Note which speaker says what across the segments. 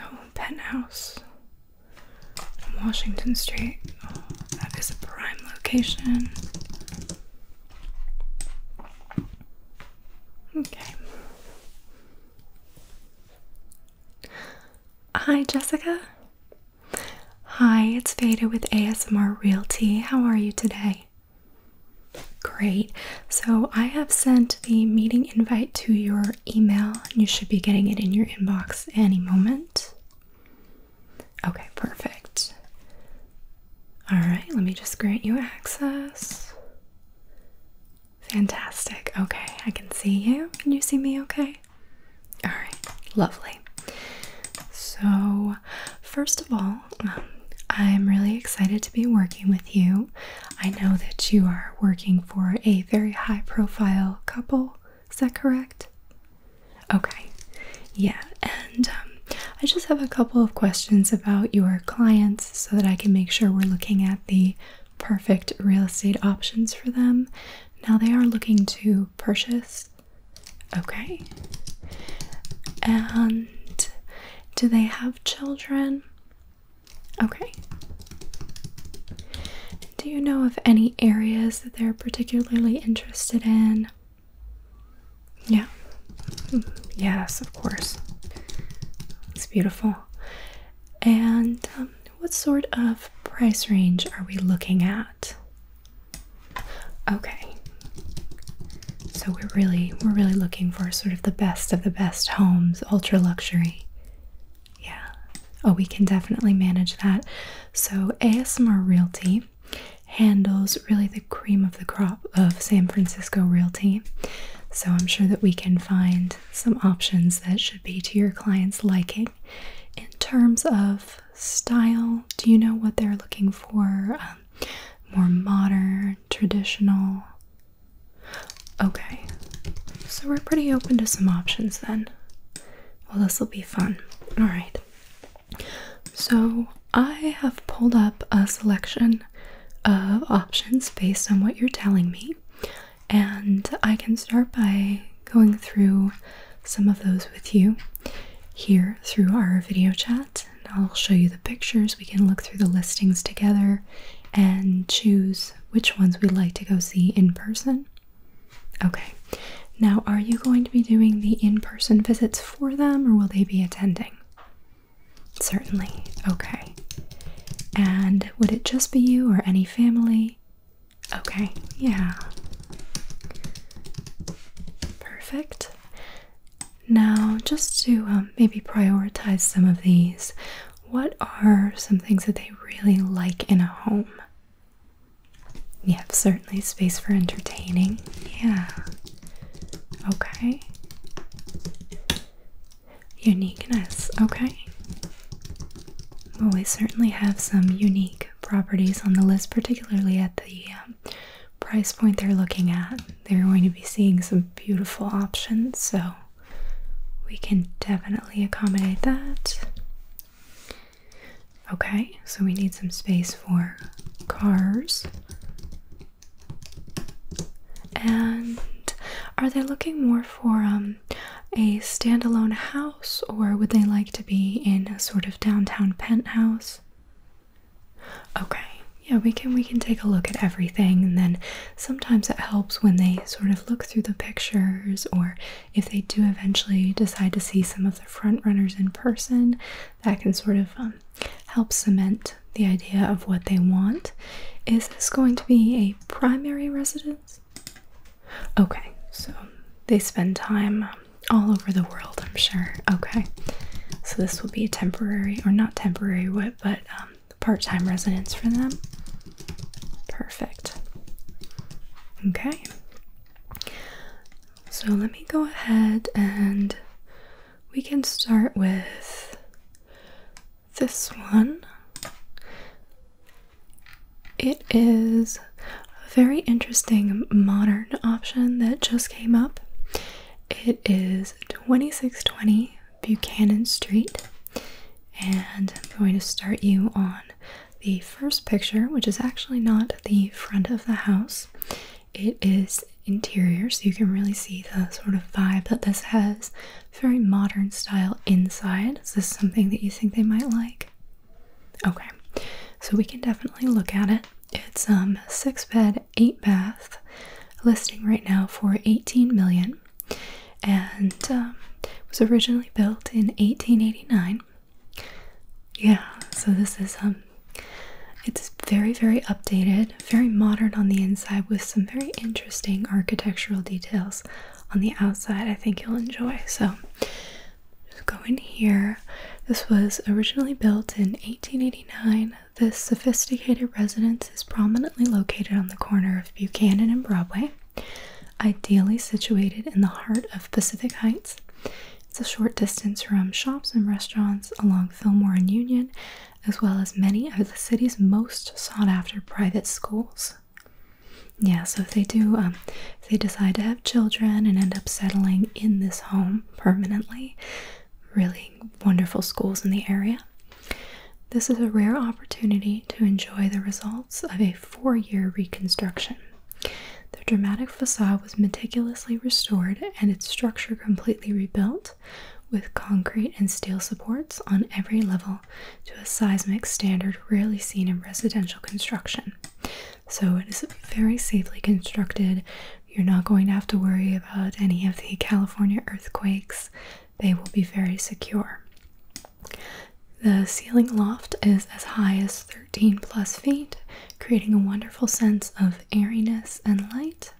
Speaker 1: Oh, penthouse Washington Street. Oh, that is a prime location. Okay. Hi, Jessica. Hi, it's Veda with ASMR Realty. How are you today? Great. So I have sent the meeting invite to your email. You should be getting it in your inbox any moment. Okay, perfect. All right, let me just grant you access. Fantastic. Okay, I can see you. Can you see me okay? All right, lovely. So, first of all, um, I'm really excited to be working with you. I know that you are working for a very high profile couple. Is that correct? Okay. Yeah. And um, I just have a couple of questions about your clients so that I can make sure we're looking at the perfect real estate options for them. Now they are looking to purchase. Okay. And do they have children? Okay. Do you know of any areas that they're particularly interested in? Yeah. Hmm, yes, of course. It's beautiful. And um, what sort of price range are we looking at? Okay. So we're really we're really looking for sort of the best of the best homes, ultra luxury. Yeah. Oh, we can definitely manage that. So, ASMR Realty handles really the cream of the crop of San Francisco Realty. So, I'm sure that we can find some options that should be to your client's liking. In terms of style, do you know what they're looking for? Um, more modern, traditional? Okay, so we're pretty open to some options then. Well, this will be fun. Alright, so I have pulled up a selection of options based on what you're telling me, and I can start by going through some of those with you here through our video chat. And I'll show you the pictures. We can look through the listings together and choose which ones we'd like to go see in person. Okay, now are you going to be doing the in person visits for them or will they be attending? Certainly, okay. And would it just be you or any family? Okay, yeah. Perfect. Now, just to um, maybe prioritize some of these, what are some things that they really like in a home? Yep, certainly space for entertaining. Yeah. Okay. Uniqueness. Okay. Well, we certainly have some unique properties on the list, particularly at the um, price point they're looking at. They're going to be seeing some beautiful options, so we can definitely accommodate that. Okay, so we need some space for cars. And are they looking more for um, a standalone house or would they like to be in a sort of downtown penthouse? Okay, yeah, we can we can take a look at everything and then sometimes it helps when they sort of look through the pictures or if they do eventually decide to see some of the frontrunners in person, that can sort of um, help cement the idea of what they want. Is this going to be a primary residence? Okay, so they spend time um, all over the world, I'm sure. Okay, so this will be a temporary, or not temporary, what, but um, part-time residence for them. Perfect. Okay. So let me go ahead and we can start with this one. It is a very interesting modern option that just came up. It is 2620 Buchanan Street. And I'm going to start you on the first picture, which is actually not the front of the house, it is interior, so you can really see the sort of vibe that this has. very modern style inside. Is this something that you think they might like? Okay, so we can definitely look at it. It's a um, six bed, eight bath listing right now for 18 million and um, was originally built in 1889. Yeah, so this is um, it's very very updated, very modern on the inside with some very interesting architectural details on the outside. I think you'll enjoy. So just go in here. This was originally built in 1889. This sophisticated residence is prominently located on the corner of Buchanan and Broadway, ideally situated in the heart of Pacific Heights. It's a short distance from shops and restaurants along Fillmore and Union, as well as many of the city's most sought after private schools. Yeah, so if they do, um, if they decide to have children and end up settling in this home permanently, really wonderful schools in the area. This is a rare opportunity to enjoy the results of a four year reconstruction. The dramatic facade was meticulously restored and its structure completely rebuilt with concrete and steel supports on every level to a seismic standard rarely seen in residential construction. So it is very safely constructed. You're not going to have to worry about any of the California earthquakes they will be very secure. The ceiling loft is as high as 13 plus feet, creating a wonderful sense of airiness and light.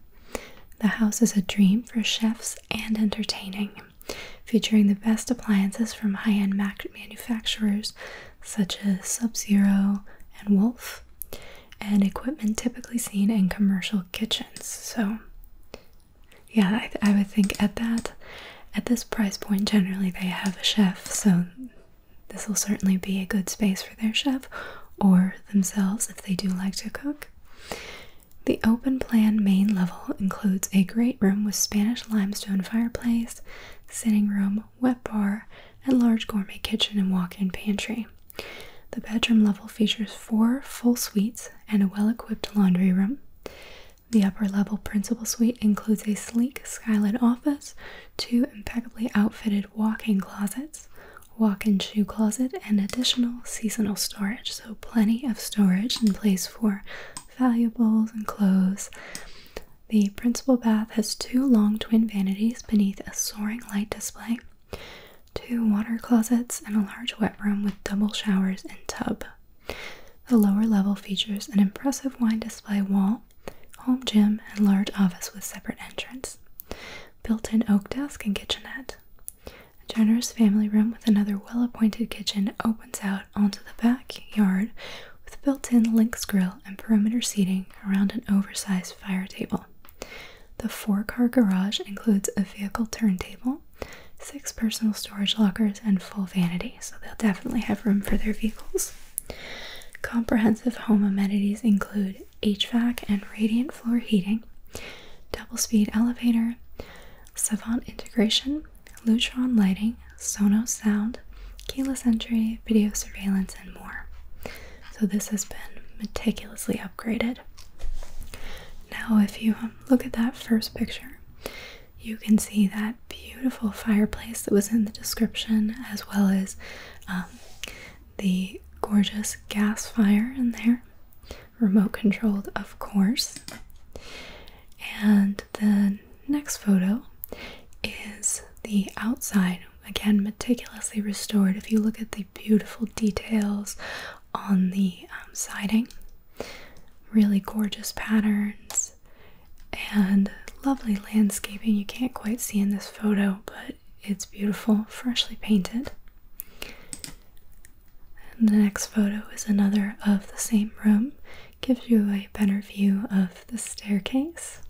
Speaker 1: The house is a dream for chefs and entertaining, featuring the best appliances from high end manufacturers such as Sub Zero and Wolf, and equipment typically seen in commercial kitchens. So, yeah, I, would think at that, at this price point, generally they have a chef, so this will certainly be a good space for their chef or themselves if they do like to cook. The open plan main level includes a great room with Spanish limestone fireplace, sitting room, wet bar, and large gourmet kitchen and walk in pantry. The bedroom level features four full suites and a well equipped laundry room. The upper level principal suite includes a sleek skylit office, two impeccably outfitted walk in closets, walk in shoe closet, and additional seasonal storage. So, plenty of storage in place for valuables and clothes. The principal bath has two long twin vanities beneath a soaring light display two water closets, and a large wet room with double showers and tub. The lower level features an impressive wine display wall, home gym, and large office with separate entrance, built in oak desk and kitchenette. generous family room with another well appointed kitchen opens out onto the backyard with built in Lynx grill and perimeter seating around an oversized fire table. The four car garage includes a vehicle turntable, six personal storage lockers, and full vanity, so they'll definitely have room for their vehicles. Comprehensive home amenities include HVAC and radiant floor heating, double speed elevator, Savant integration, Lutron lighting, Sonos sound, keyless entry, video surveillance, and more. So, this has been meticulously upgraded. Now, if you look at that first picture. You can see that beautiful fireplace that was in the description, as well as um, the gorgeous gas fire in there, remote controlled, of course. And the next photo is the outside, again, meticulously restored. If you look at the beautiful details on the um, siding. Really gorgeous patterns and lovely landscaping. You can't quite see in this photo, but it's beautiful, freshly painted. the next photo is another of the same room, gives you a better view of the staircase.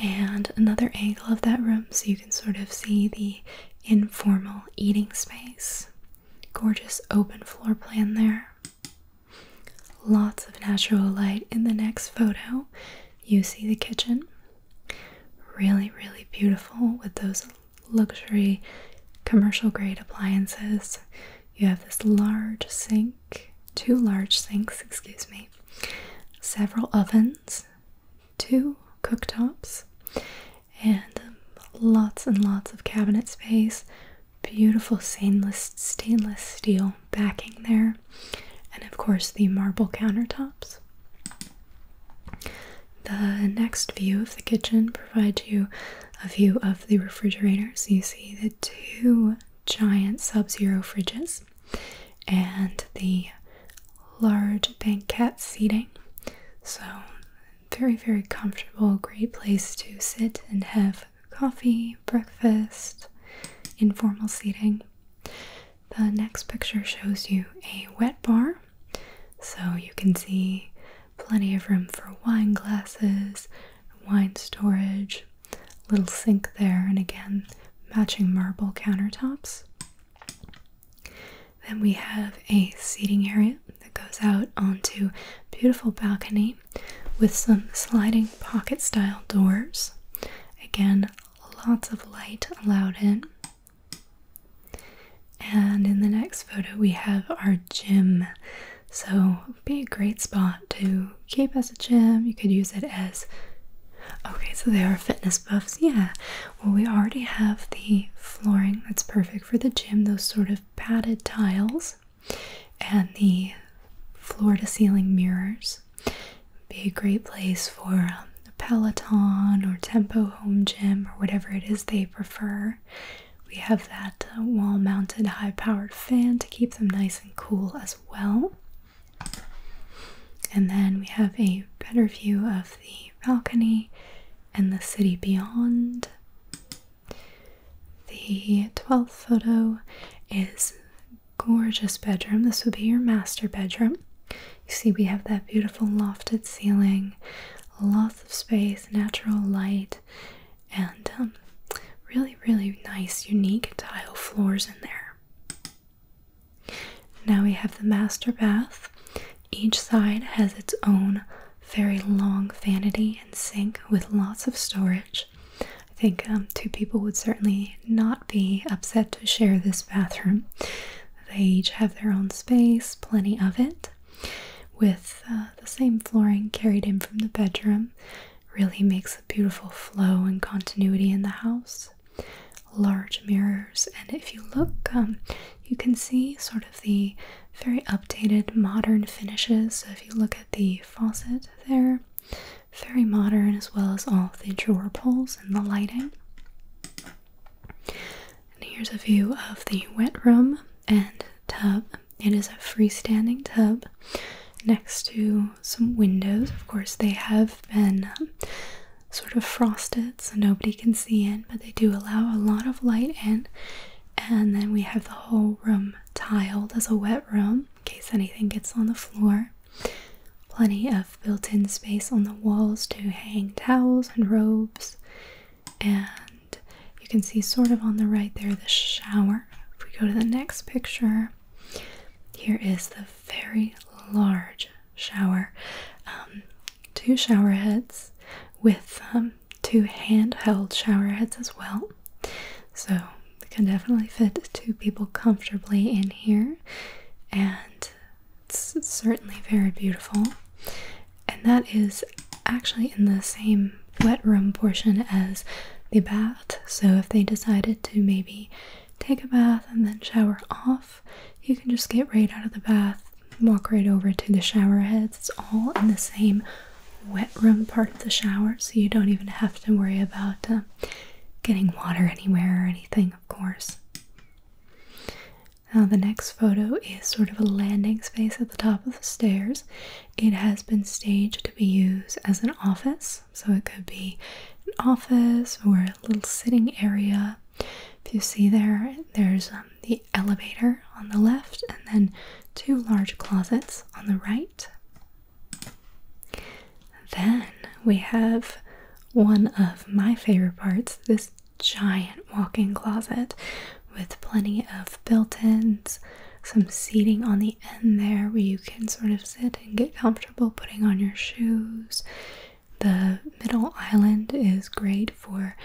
Speaker 1: And another angle of that room so you and sort of see the informal eating space. Gorgeous open floor plan there. Lots of natural light in the next photo. You see the kitchen. Really, really beautiful with those luxury commercial grade appliances. You have this large sink, two large sinks, excuse me, several ovens, two cooktops and um, lots and lots of cabinet space. Beautiful stainless stainless steel backing there, and of course the marble countertops. The next view of the kitchen provides you a view of the refrigerator. So you see the two giant sub zero fridges and the large banquet seating. So, very, very comfortable, great place to sit and have coffee, breakfast, informal seating. The next picture shows you a wet bar, so you can see plenty of room for wine glasses, wine storage, little sink there, and again, matching marble countertops. Then we have a seating area that goes out onto beautiful balcony with some sliding pocket style doors. Again, lots of light allowed in. And in the next photo, we have our gym. So, be a great spot to keep as a gym. You could use it as Okay, so there are fitness buffs. Yeah. Well, we already have the flooring that's perfect for the gym, those sort of padded tiles, and the floor to ceiling mirrors. Be a great place for a Peloton or Tempo Home Gym or whatever it is they prefer. We have that uh, wall mounted high powered fan to keep them nice and cool as well. And then we have a better view of the balcony and the city beyond. The 12th photo is gorgeous bedroom. This would be your master bedroom. You see we have that beautiful lofted ceiling, lots of space, natural light, and um, really really nice unique tile floors in there. Now we have the master bath. Each side has its own very long vanity and sink with lots of storage. I think um, two people would certainly not be upset to share this bathroom. They each have their own space, plenty of it, with uh, the same flooring carried in from the bedroom. Really makes a beautiful flow and continuity in the house large mirrors. And if you look, um, you can see sort of the very updated modern finishes. So if you look at the faucet there, very modern, as well as all the drawer pulls and the lighting. And here's a view of the wet room and tub. It is a freestanding tub next to some windows. Of course, they have been um, sort of frosted so nobody can see in, but they do allow a lot of light in. And then we have the whole room tiled as a wet room in case anything gets on the floor. Plenty of built in space on the walls to hang towels and robes. And you can see, sort of on the right there, the shower. If we go to the next picture, here is the very large shower. Um, two shower heads with um, two handheld shower heads as well. So it can definitely fit two people comfortably in here, and it's certainly very beautiful. And that is actually in the same wet room portion as the bath. So if they decided to maybe take a bath and then shower off, you can just get right out of the bath, walk right over to the shower heads. It's all in the same wet room part of the shower, so you don't even have to worry about um, getting water anywhere or anything, of course. Now, the next photo is sort of a landing space at the top of the stairs. It has been staged to be used as an office, so it could be an office or a little sitting area. If you see there, there's um, the elevator on the left and then two large closets on the right. Then we have one of my favorite parts this giant walk in closet with plenty of built ins, some seating on the end there where you can sort of sit and get comfortable putting on your shoes. The middle island is great for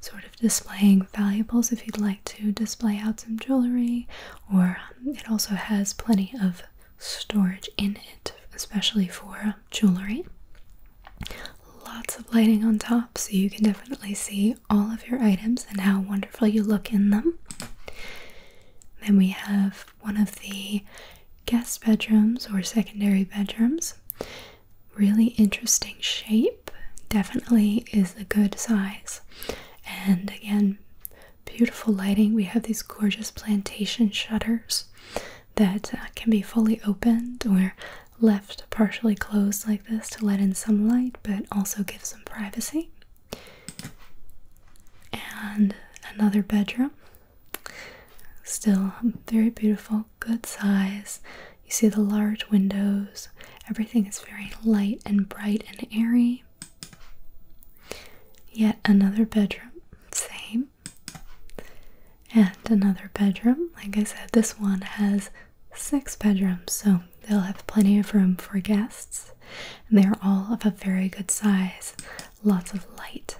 Speaker 1: sort of displaying valuables if you'd like to display out some jewelry, or um, it also has plenty of storage in it, especially for um, jewelry. Lots of lighting on top, so you can definitely see all of your items and how wonderful you look in them. Then we have one of the guest bedrooms or secondary bedrooms really interesting shape. Definitely is a good size. And again, beautiful lighting. We have these gorgeous plantation shutters that uh, can be fully opened or left partially closed like this to let in some light but also give some privacy. And another bedroom Still very beautiful, good size. You see the large windows. Everything is very light and bright and airy. Yet another bedroom, same. And another bedroom. Like I said, this one has six bedrooms, so they'll have plenty of room for guests. And they are all of a very good size. Lots of light.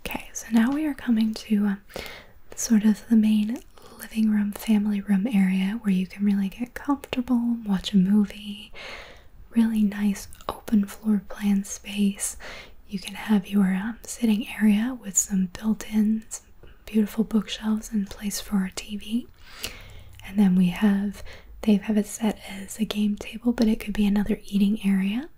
Speaker 1: Okay, so now we are coming to uh, sort of the main living room, family room area where you can really get comfortable, watch a movie, really nice open floor plan space. You can have your um, sitting area with some built ins beautiful bookshelves, and place for a TV. And then we have, they have it set as a game table, but it could be another eating area.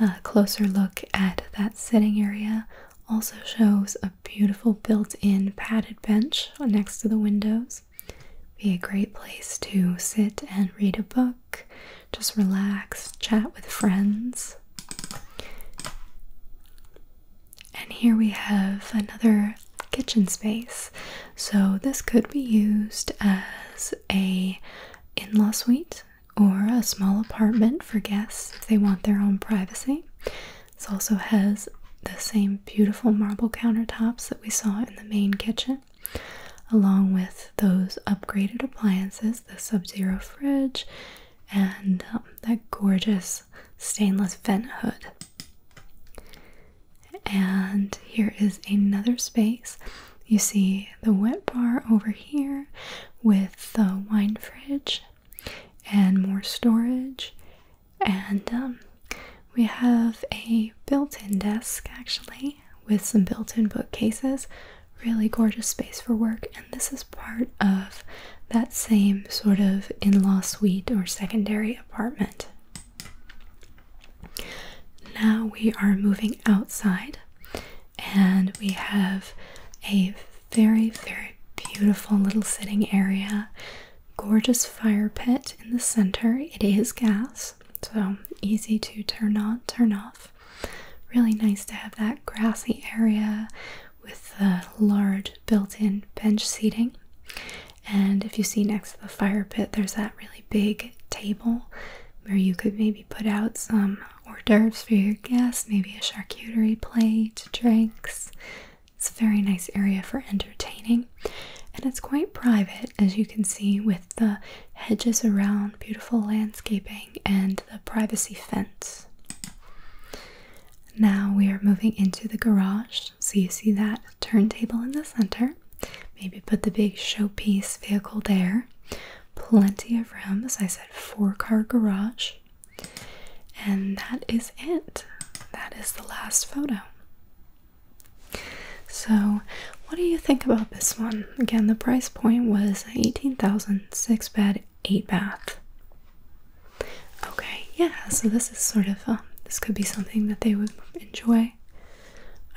Speaker 1: A closer look at that sitting area also shows a beautiful built in padded bench next to the windows. Be a great place to sit and read a book, just relax, chat with friends. And here we have another kitchen space. So this could be used as a in-law suite or a small apartment for guests if they want their own privacy. This also has the same beautiful marble countertops that we saw in the main kitchen, along with those upgraded appliances the Sub Zero fridge and um, that gorgeous stainless vent hood. And here is another space you see the wet bar over here with the wine fridge and more storage. And um, we have a built in desk actually with some built in bookcases. Really gorgeous space for work. And this is part of that same sort of in law suite or secondary apartment. Now we are moving outside and we have a very, very beautiful little sitting area. Gorgeous fire pit in the center. It is gas, so easy to turn on, turn off. Really nice to have that grassy area with the large built in bench seating. And if you see next to the fire pit, there's that really big table where you could maybe put out some hors d'oeuvres for your guests, maybe a charcuterie plate, drinks. It's a very nice area for entertaining, and it's quite private as you can see with the hedges around, beautiful landscaping, and the privacy fence. Now we are moving into the garage. So you see that turntable in the center. Maybe put the big showpiece vehicle there plenty of rooms. I said, four car garage. And that is it. That is the last photo. So, what do you think about this one? Again, the price point was 18,000, 6 bed, 8 bath. Okay, yeah, so this is sort of, um, this could be something that they would enjoy.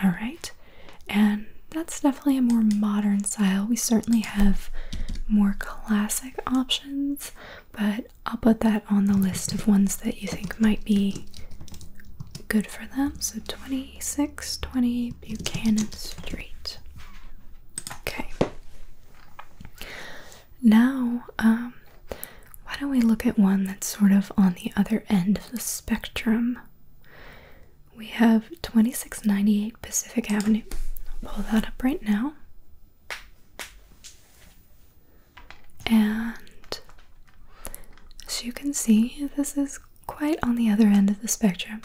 Speaker 1: Alright, and that's definitely a more modern style. We certainly have more classic options, but I'll put that on the list of ones that you think might be good for them. So 2620 Buchanan Street. Okay. Now, um, why don't we look at one that's sort of on the other end of the spectrum? we have 2698 Pacific Avenue. I'll pull that up right now. And as you can see, this is quite on the other end of the spectrum.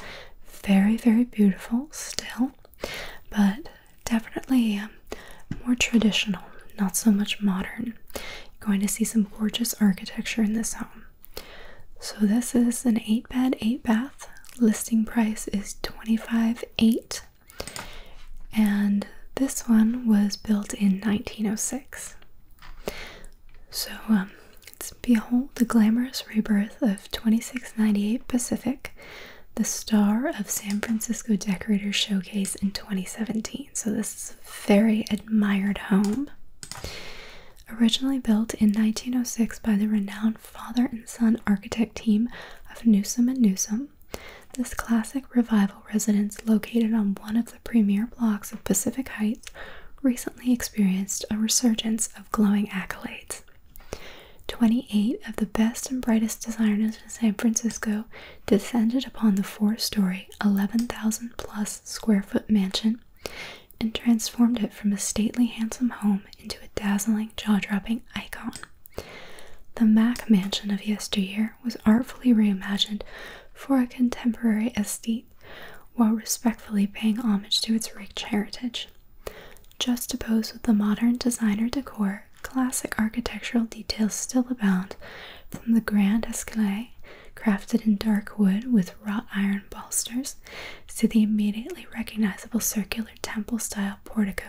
Speaker 1: Very, very beautiful still, but definitely um, more traditional, not so much modern. You're going to see some gorgeous architecture in this home. So this is an 8 bed, 8 bath. Listing price is 25.8 and this one was built in 1906. So um, behold the glamorous rebirth of 2698 Pacific, the star of San Francisco decorator Showcase in 2017. So this is a very admired home. Originally built in 1906 by the renowned father and son architect team of Newsom and Newsom, this classic revival residence located on one of the premier blocks of Pacific Heights recently experienced a resurgence of glowing accolades. 28 of the best and brightest designers in San Francisco descended upon the four story, 11,000 plus square foot mansion and transformed it from a stately, handsome home into a dazzling, jaw dropping icon. The Mack mansion of yesteryear was artfully reimagined for a contemporary aesthete while respectfully paying homage to its rich heritage. Juxtaposed with the modern designer decor, classic architectural details still abound from the grand escalier crafted in dark wood with wrought iron balusters to the immediately recognizable circular temple style portico,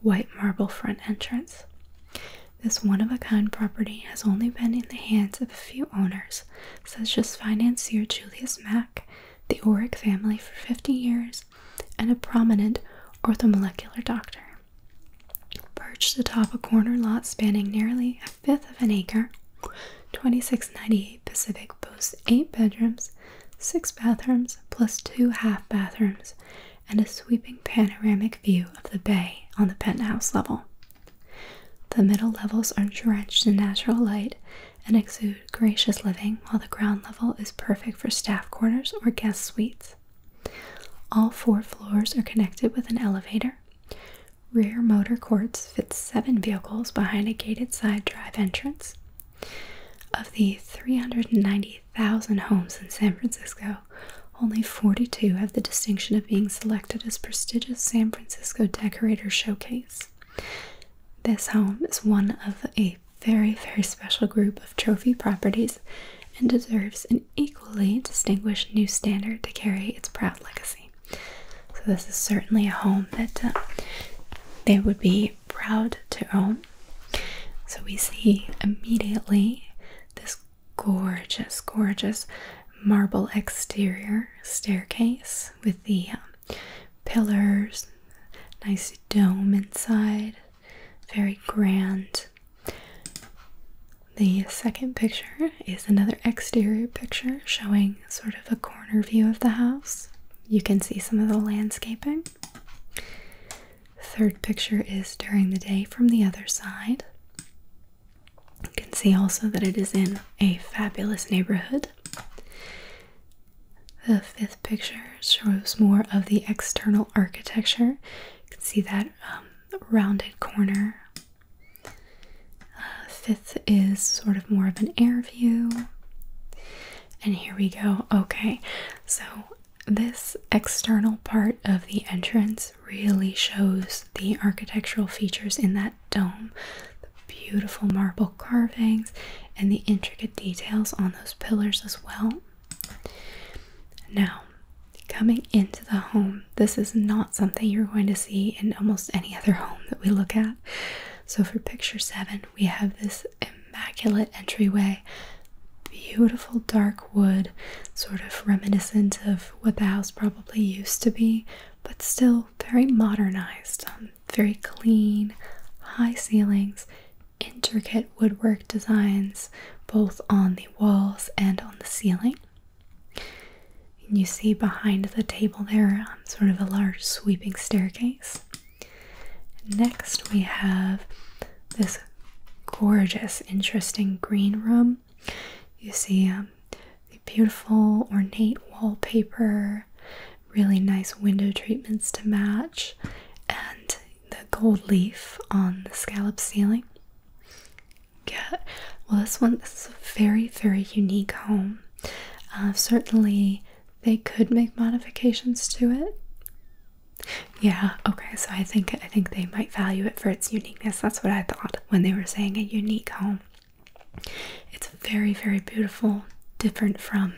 Speaker 1: white marble front entrance. This one of a kind property has only been in the hands of a few owners, such as financier Julius Mack, the Orrick family for 50 years, and a prominent orthomolecular doctor. Perched atop a corner lot spanning nearly a fifth of an acre, 2698 Pacific boasts 8 bedrooms, 6 bathrooms, plus 2 half bathrooms, and a sweeping panoramic view of the bay on the penthouse level. The middle levels are drenched in natural light and exude gracious living, while the ground level is perfect for staff quarters or guest suites. All four floors are connected with an elevator. Rear motor courts fit seven vehicles behind a gated side drive entrance. Of the 390,000 homes in San Francisco, only 42 have the distinction of being selected as prestigious San Francisco Decorator Showcase. This home is one of a very, very special group of trophy properties and deserves an equally distinguished new standard to carry its proud legacy. So, this is certainly a home that uh, they would be proud to own. So, we see immediately this gorgeous, gorgeous marble exterior staircase with the um, pillars, nice dome inside, very grand. The second picture is another exterior picture showing sort of a corner view of the house. You can see some of the landscaping. Third picture is during the day from the other side. You can see also that it is in a fabulous neighborhood. The fifth picture shows more of the external architecture. You can see that um, rounded corner uh, fifth is sort of more of an air view. And here we go. Okay, so this external part of the entrance really shows the architectural features in that dome the beautiful marble carvings and the intricate details on those pillars as well. Now, coming into the home, this is not something you're going to see in almost any other home that we look at. So for picture seven, we have this immaculate entryway, beautiful dark wood, sort of reminiscent of what the house probably used to be, but still very modernized, um, very clean, high ceilings, intricate woodwork designs both on the walls and on the ceiling. And you see behind the table there, sort of a large sweeping staircase. Next, we have this gorgeous, interesting green room. You see um, the beautiful, ornate wallpaper, really nice window treatments to match, and the gold leaf on the scallop ceiling. Get well, this one this is a very, very unique home. Uh, certainly, they could make modifications to it. Yeah. Okay. So I think I think they might value it for its uniqueness. That's what I thought when they were saying a unique home. It's very very beautiful, different from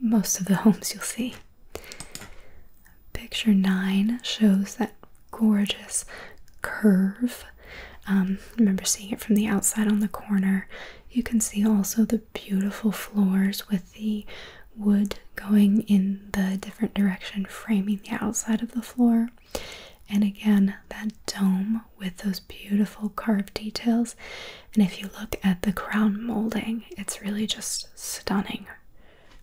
Speaker 1: most of the homes you'll see. Picture nine shows that gorgeous curve. Um, remember seeing it from the outside on the corner. You can see also the beautiful floors with the wood going in the different direction, framing the outside of the floor. And again, that dome with those beautiful carved details. And if you look at the crown molding, it's really just stunning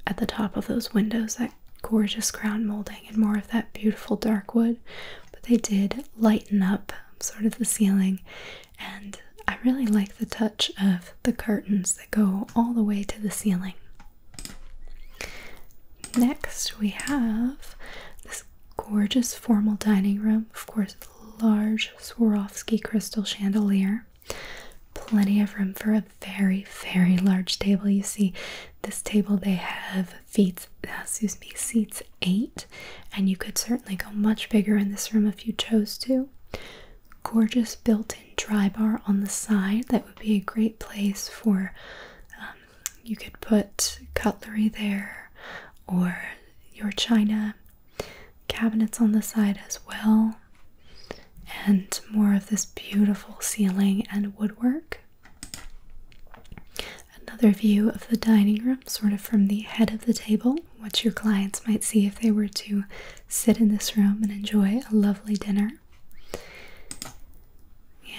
Speaker 1: at the top of those windows, that gorgeous crown molding, and more of that beautiful dark wood. But they did lighten up sort of the ceiling, and I really like the touch of the curtains that go all the way to the ceiling. Next, we have this gorgeous formal dining room, of course, large Swarovski crystal chandelier. Plenty of room for a very, very large table. You see, this table they have feet, uh, excuse me, seats eight, and you could certainly go much bigger in this room if you chose to. Gorgeous built-in dry bar on the side. That would be a great place for. Um, you could put cutlery there, or your china. Cabinets on the side as well, and more of this beautiful ceiling and woodwork. Another view of the dining room, sort of from the head of the table, what your clients might see if they were to sit in this room and enjoy a lovely dinner.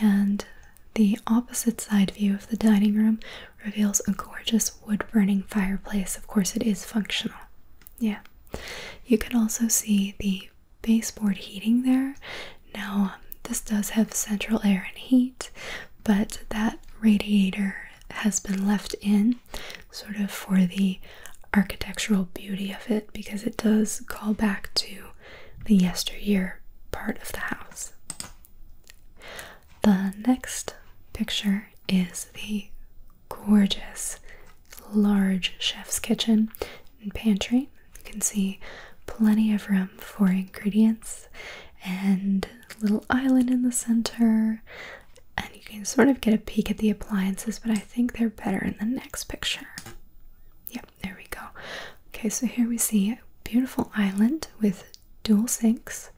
Speaker 1: And the opposite side view of the dining room reveals a gorgeous wood burning fireplace. Of course, it is functional. Yeah. You can also see the baseboard heating there. Now, this does have central air and heat, but that radiator has been left in sort of for the architectural beauty of it because it does call back to the yesteryear part of the house. The next picture is the gorgeous large chef's kitchen and pantry. You can see plenty of room for ingredients and a little island in the center and you can sort of get a peek at the appliances but I think they're better in the next picture. Yep, there we go. Okay, so here we see a beautiful island with dual sinks.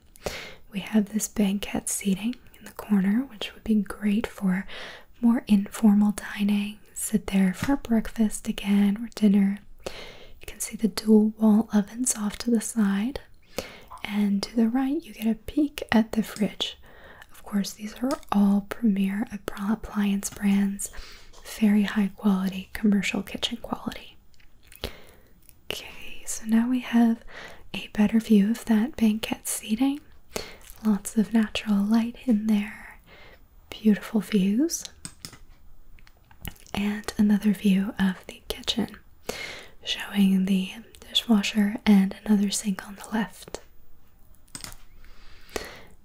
Speaker 1: We have this banquette seating in the corner which would be great for more informal dining. Sit there for breakfast again or dinner you can see the dual wall ovens off to the side, and to the right, you get a peek at the fridge. Of course, these are all premier appliance brands, very high quality, commercial kitchen quality. Okay, so now we have a better view of that banquet seating. Lots of natural light in there, beautiful views and another view of the kitchen, showing the dishwasher and another sink on the left.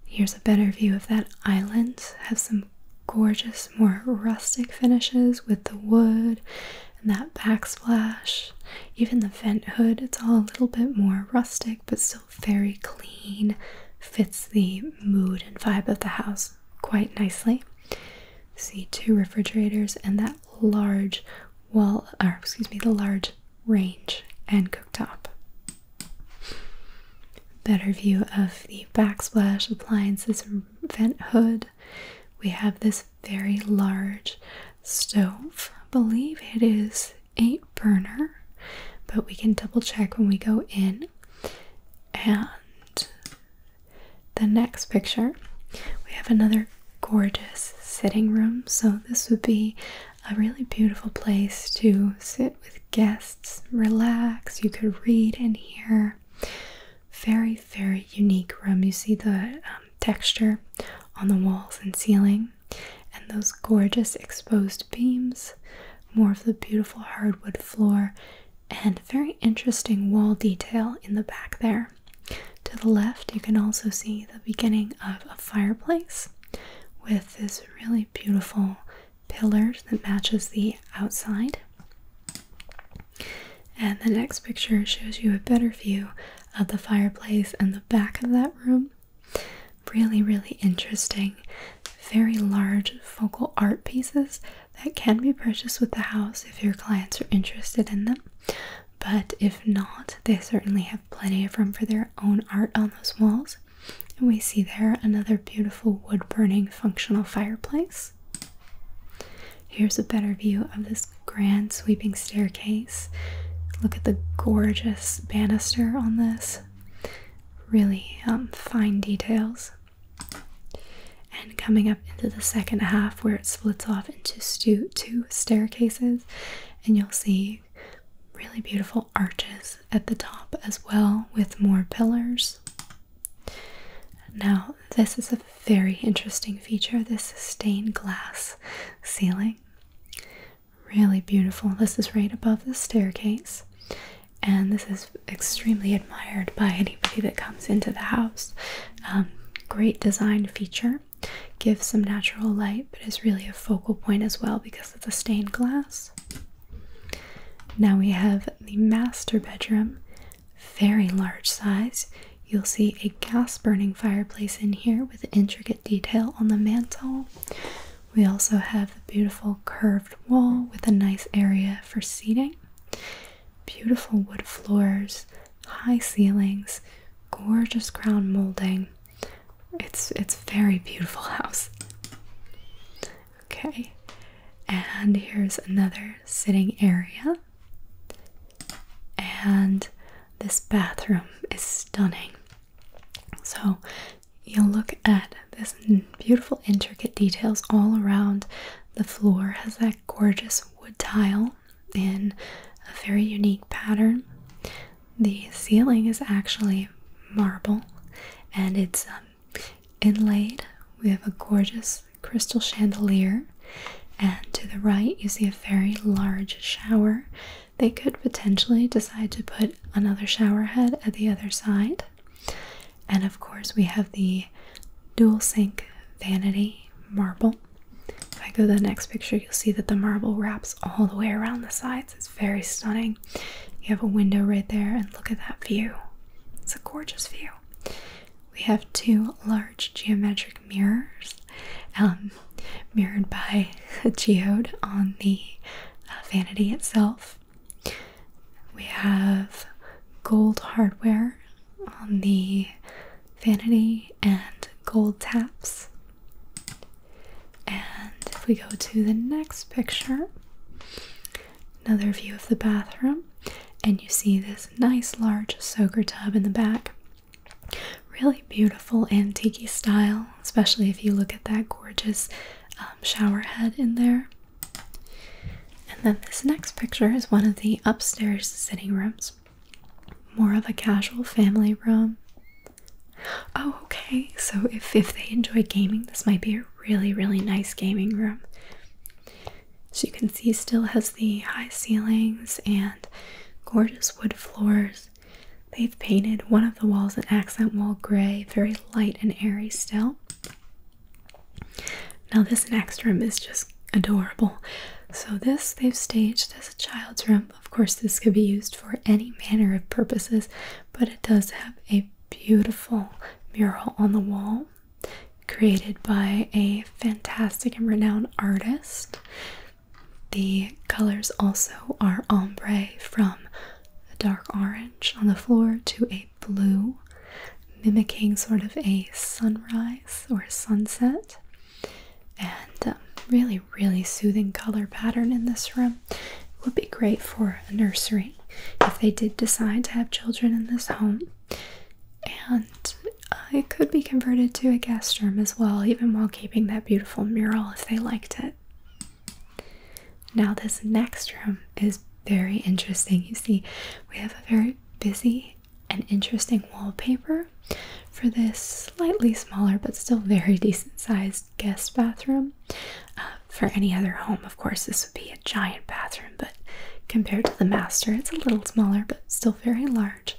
Speaker 1: Here's a better view of that island. Have some gorgeous, more rustic finishes with the wood and that backsplash. Even the vent hood, it's all a little bit more rustic but still very clean. Fits the mood and vibe of the house quite nicely see two refrigerators and that large wall or excuse me the large range and cooktop better view of the backsplash appliances vent hood we have this very large stove believe it is eight burner but we can double check when we go in and the next picture, we have another gorgeous sitting room. So, this would be a really beautiful place to sit with guests, relax. You could read in here. Very, very unique room. You see the um, texture on the walls and ceiling, and those gorgeous exposed beams, more of the beautiful hardwood floor and very interesting wall detail in the back there. To the left, you can also see the beginning of a fireplace with this really beautiful pillar that matches the outside. And the next picture shows you a better view of the fireplace and the back of that room. Really, really interesting. Very large focal art pieces that can be purchased with the house if your clients are interested in them. But if not, they certainly have plenty of room for their own art on those walls. And we see there another beautiful wood burning functional fireplace. Here's a better view of this grand sweeping staircase. Look at the gorgeous banister on this. Really um, fine details. And coming up into the second half, where it splits off into two staircases, and you'll see really beautiful arches at the top as well, with more pillars. Now, this is a very interesting feature this stained glass ceiling. Really beautiful. This is right above the staircase, and this is extremely admired by anybody that comes into the house. Um, great design feature, gives some natural light, but is really a focal point as well because of the stained glass. Now we have the master bedroom, very large size. You'll see a gas burning fireplace in here with intricate detail on the mantel. We also have the beautiful curved wall with a nice area for seating beautiful wood floors, high ceilings, gorgeous ground molding. It's it's very beautiful house. Okay. And here's another sitting area. And this bathroom is stunning. So you'll look at this beautiful intricate details all around the floor has that gorgeous wood tile in a very unique pattern. The ceiling is actually marble and it's um, inlaid. We have a gorgeous crystal chandelier, and to the right, you see a very large shower. They could potentially decide to put another shower head at the other side, and of course, we have the dual sink vanity marble. If I go to the next picture, you'll see that the marble wraps all the way around the sides. It's very stunning. You have a window right there, and look at that view. It's a gorgeous view. We have two large geometric mirrors, um, mirrored by a geode on the uh, vanity itself. We have gold hardware on the vanity and gold taps. And if we go to the next picture, another view of the bathroom, and you see this nice large soaker tub in the back. Really beautiful antique style, especially if you look at that gorgeous um, shower head in there. And then this next picture is one of the upstairs sitting rooms. More of a casual family room. Oh, okay. So if, if they enjoy gaming, this might be a really, really nice gaming room. As you can see, still has the high ceilings and gorgeous wood floors. They've painted one of the walls an accent wall gray, very light and airy still. Now, this next room is just adorable. So, this they've staged as a child's room. Of course, this could be used for any manner of purposes, but it does have a beautiful mural on the wall created by a fantastic and renowned artist. The colors also are ombre from a dark orange on the floor to a blue, mimicking sort of a sunrise or sunset. And um, really, really soothing color pattern in this room. would be great for a nursery if they did decide to have children in this home. And uh, it could be converted to a guest room as well, even while keeping that beautiful mural if they liked it. Now, this next room is very interesting. You see, we have a very busy and interesting wallpaper for this slightly smaller but still very decent sized guest bathroom. Uh, for any other home, of course, this would be a giant bathroom, but compared to the master, it's a little smaller but still very large.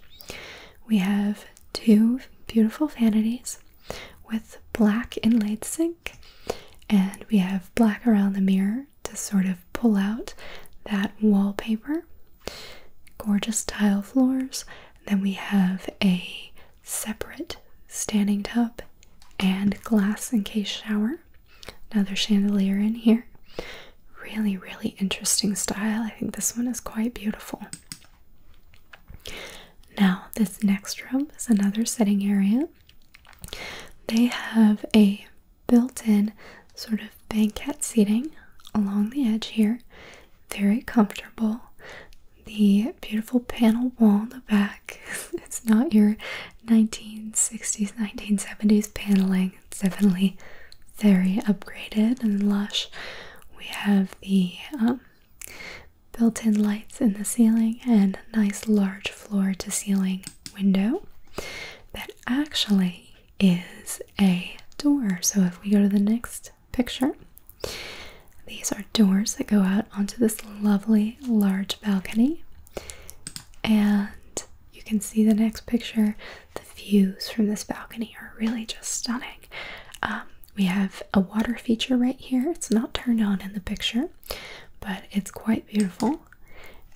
Speaker 1: We have two beautiful vanities with black inlaid sink, and we have black around the mirror to sort of pull out that wallpaper. Gorgeous tile floors. Then we have a separate standing tub and glass encased shower. Another chandelier in here. Really, really interesting style. I think this one is quite beautiful. Now, this next room is another sitting area. They have a built in sort of banquet seating along the edge here. Very comfortable. The beautiful panel wall in the back. it's not your 1960s, 1970s paneling. It's definitely very upgraded and lush. We have the um, built in lights in the ceiling and nice large floor to ceiling window that actually is a door. So if we go to the next picture, these are doors that go out onto this lovely large balcony. And you can see the next picture. The views from this balcony are really just stunning. Um, we have a water feature right here. It's not turned on in the picture, but it's quite beautiful.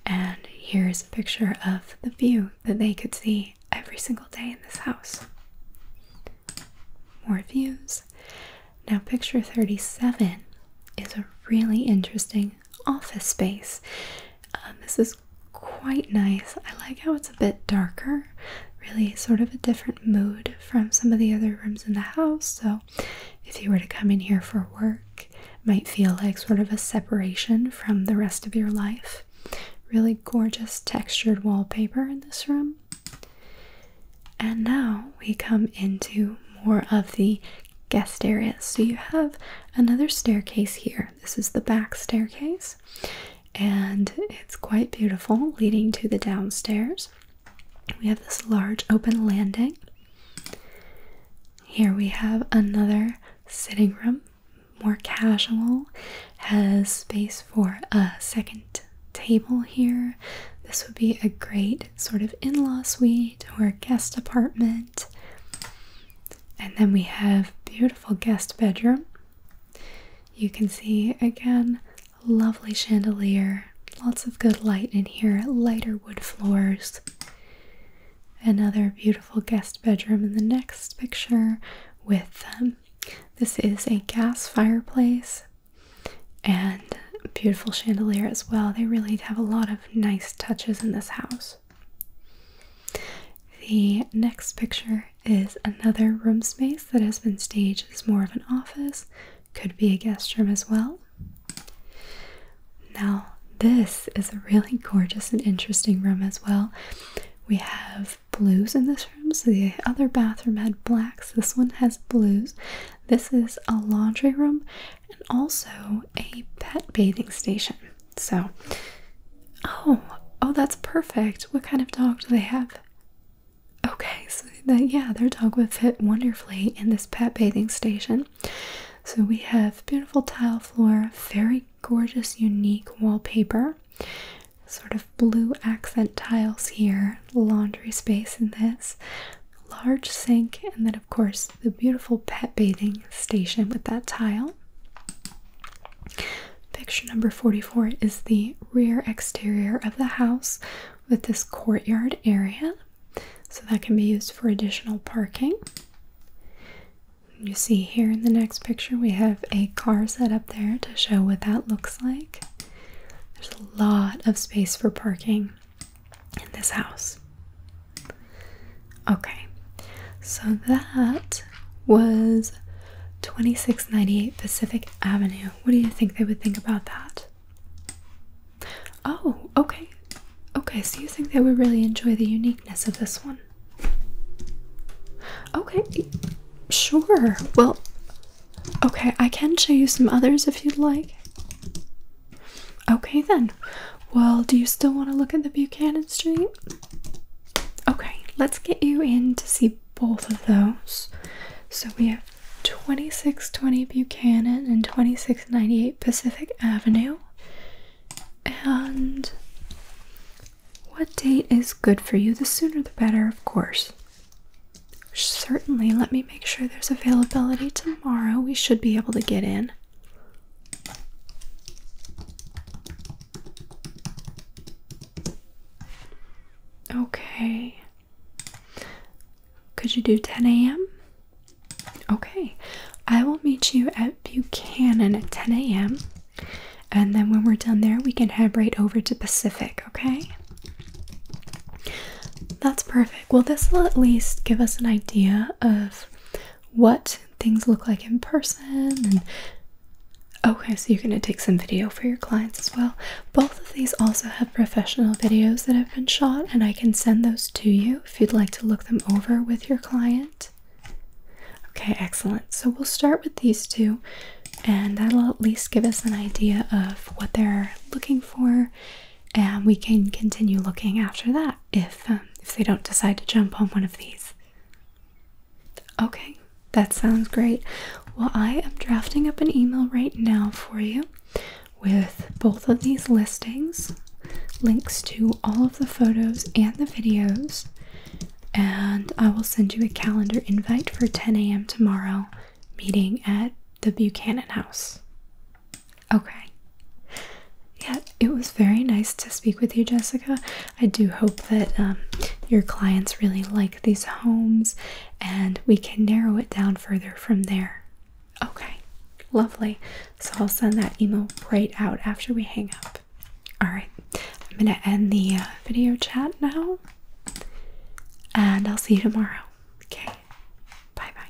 Speaker 1: And here's a picture of the view that they could see every single day in this house. More views. Now, picture 37 is a really interesting office space. Um, this is quite nice. I like how it's a bit darker, really, sort of a different mood from some of the other rooms in the house. So, if you were to come in here for work, might feel like sort of a separation from the rest of your life. Really gorgeous textured wallpaper in this room. And now we come into more of the guest areas. So you have another staircase here. This is the back staircase, and it's quite beautiful, leading to the downstairs. We have this large open landing. Here we have another sitting room, more casual, has space for a second table here. This would be a great sort of in law suite or guest apartment. And then we have beautiful guest bedroom. You can see again, lovely chandelier, lots of good light in here, lighter wood floors. Another beautiful guest bedroom in the next picture with This is a gas fireplace and beautiful chandelier as well. They really have a lot of nice touches in this house. The next picture is another room space that has been staged as more of an office, could be a guest room as well. Now, this is a really gorgeous and interesting room as well. We have blues in this room, so the other bathroom had blacks, this one has blues. This is a laundry room and also a pet bathing station. So, oh, oh, that's perfect. What kind of dog do they have? Okay, so yeah, their dog would fit wonderfully in this pet bathing station. So we have beautiful tile floor, very gorgeous, unique wallpaper, sort of blue accent tiles here, laundry space in this, large sink, and then, of course, the beautiful pet bathing station with that tile. Picture number 44 is the rear exterior of the house with this courtyard area. So that can be used for additional parking. You see here in the next picture, we have a car set up there to show what that looks like. There's a lot of space for parking in this house. Okay, so that was 2698 Pacific Avenue. What do you think they would think about that? Oh, okay. Okay, so you think they would really enjoy the uniqueness of this one? Okay, sure. Well, okay, I can show you some others if you'd like. Okay, then. Well, do you still want to look at the Buchanan Street? Okay, let's get you in to see both of those. So we have 2620 Buchanan and 2698 Pacific Avenue. And what date is good for you? The sooner the better, of course. Certainly, let me make sure there's availability tomorrow. We should be able to get in. Okay. Could you do 10 a.m.? Okay, I will meet you at Buchanan at 10 a.m. And then when we're done there, we can head right over to Pacific, okay? That's perfect. Well, this will at least give us an idea of what things look like in person. okay, so you're going to take some video for your clients as well. Both of these also have professional videos that have been shot, and I can send those to you if you'd like to look them over with your client. Okay, excellent. So we'll start with these two, and that'll at least give us an idea of what they're looking for, and we can continue looking after that if um, if they don't decide to jump on one of these. Okay, that sounds great. Well, I am drafting up an email right now for you with both of these listings links to all of the photos and the videos, and I will send you a calendar invite for 10 a.m. tomorrow, meeting at the Buchanan House. Okay. Yeah, it was very nice to speak with you, Jessica. I do hope that um, your clients really like these homes and we can narrow it down further from there. Okay, lovely. So I'll send that email right out after we hang up. All right, I'm going to end the uh, video chat now, and I'll see you tomorrow. Okay, bye bye.